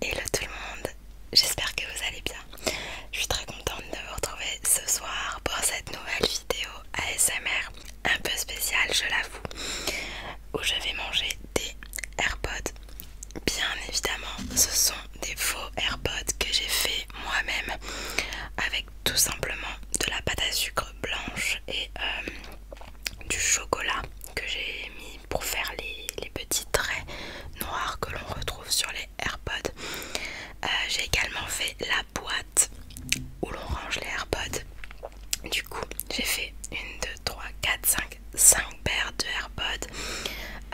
Hello tout le monde, j'espère que vous allez bien. Je suis très contente de vous retrouver ce soir pour cette nouvelle vidéo ASMR un peu spéciale, je l'avoue, où je vais manger des AirPods. Bien évidemment, ce sont des faux AirPods que j'ai fait moi-même avec tout simplement de la pâte à sucre blanche et euh, du chocolat que j'ai mis pour faire les, petits traits noirs que l'on retrouve sur les AirPods. Euh, j'ai également fait la boîte où l'on range les AirPods. Du coup, j'ai fait une, deux, trois, quatre, cinq, cinq paires de AirPods.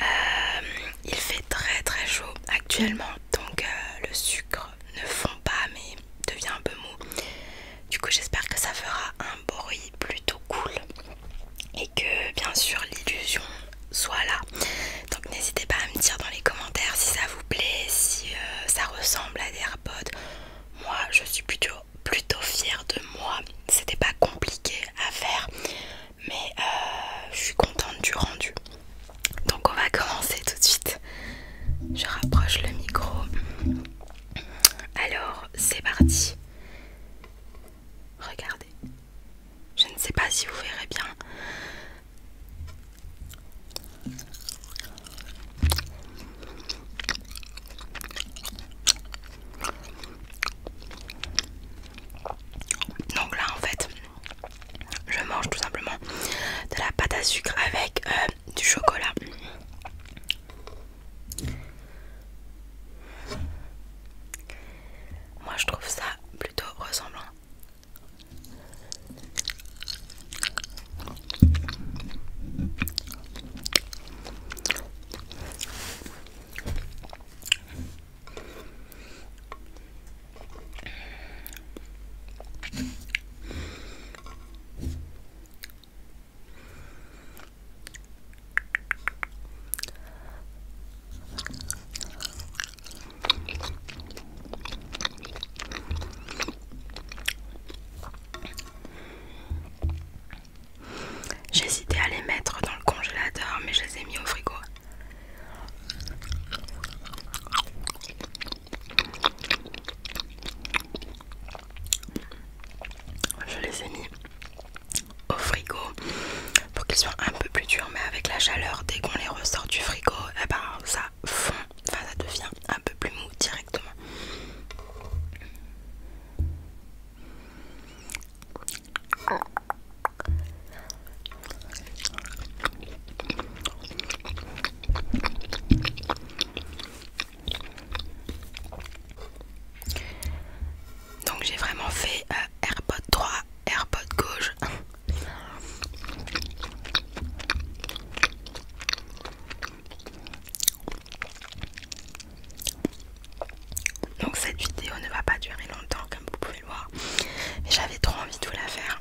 Euh, il fait très très chaud actuellement, donc le sucre ne fond pas, mais devient un peu mou. Du coup, j'espère que ça fera un bruit plutôt cool et que bien sûr l'illusion soit là. Donc n'hésitez pas à me dire dans les commentaires si ça vous plaît, si euh, ça ressemble à des AirPods. Moi, je suis plutôt plutôt fière de moi. C'était pas compliqué à faire, mais euh, je suis contente du rendu. Donc on va commencer tout de suite. Je rapproche le micro. Alors c'est parti. Regardez. Je ne sais pas si vous verrez bien. Donc là en fait je mange tout simplement de la pâte à sucre avec euh, du chocolat. Moi je trouve ça plutôt ressemblant. J'hésitais à les mettre dans le congélateur mais je les ai mis au frigo je les ai mis au frigo pour qu'ils soient un peu plus durs, mais avec la chaleur, dès qu'on les ressort du frigo, Et eh ben, ça fond, enfin ça devient un peu plus mou directement. Ah. Donc j'ai vraiment fait Airbot euh, AirPod 3, AirPod gauche. Donc cette vidéo ne va pas durer longtemps comme vous pouvez le voir. Mais j'avais trop envie de vous la faire.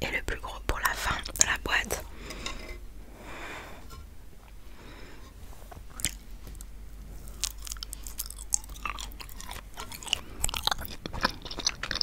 Et le plus gros pour la fin de la boîte.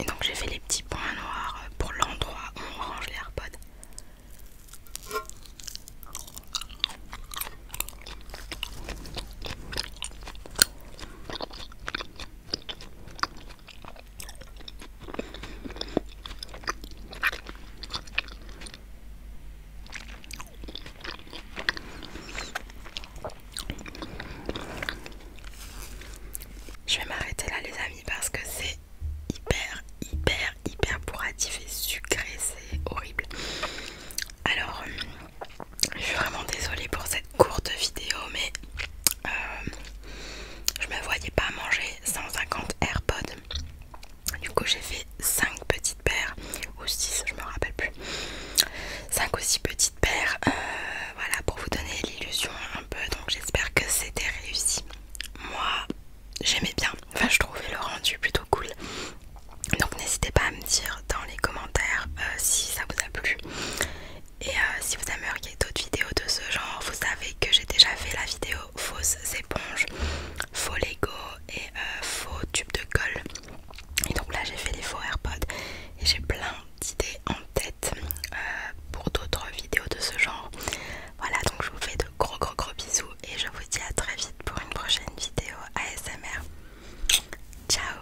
Et donc j'ai fait les petits points noirs pour l'endroit où on range les AirPods. Je vais m'arrêter là les amis parce que c'est hyper hyper hyper bourratif et sucré, c'est horrible. Alors euh, je suis vraiment désolée pour cette courte vidéo mais euh, je me voyais pas manger 150 AirPods du coup j'ai fait 5 petites paires ou 6 je me rappelle plus 5 ou 6 petites paires euh, voilà pour vous donner l'illusion un peu donc j'espère que c'était réussi moi j'aimais bien enfin je trouvais le rendu plutôt cool donc n'hésitez pas à me dire dans les commentaires euh, si ça vous a plu et euh, si vous aimeriez d'autres vidéos de ce genre vous savez que j'ai déjà fait la vidéo fausses éponges, faux Lego et euh, faux tubes de colle. Et donc là j'ai fait les faux AirPods et j'ai plein d'idées en tête euh, pour d'autres vidéos de ce genre. Voilà donc je vous fais de gros gros gros bisous et je vous dis à très vite pour une prochaine vidéo ASMR. Ciao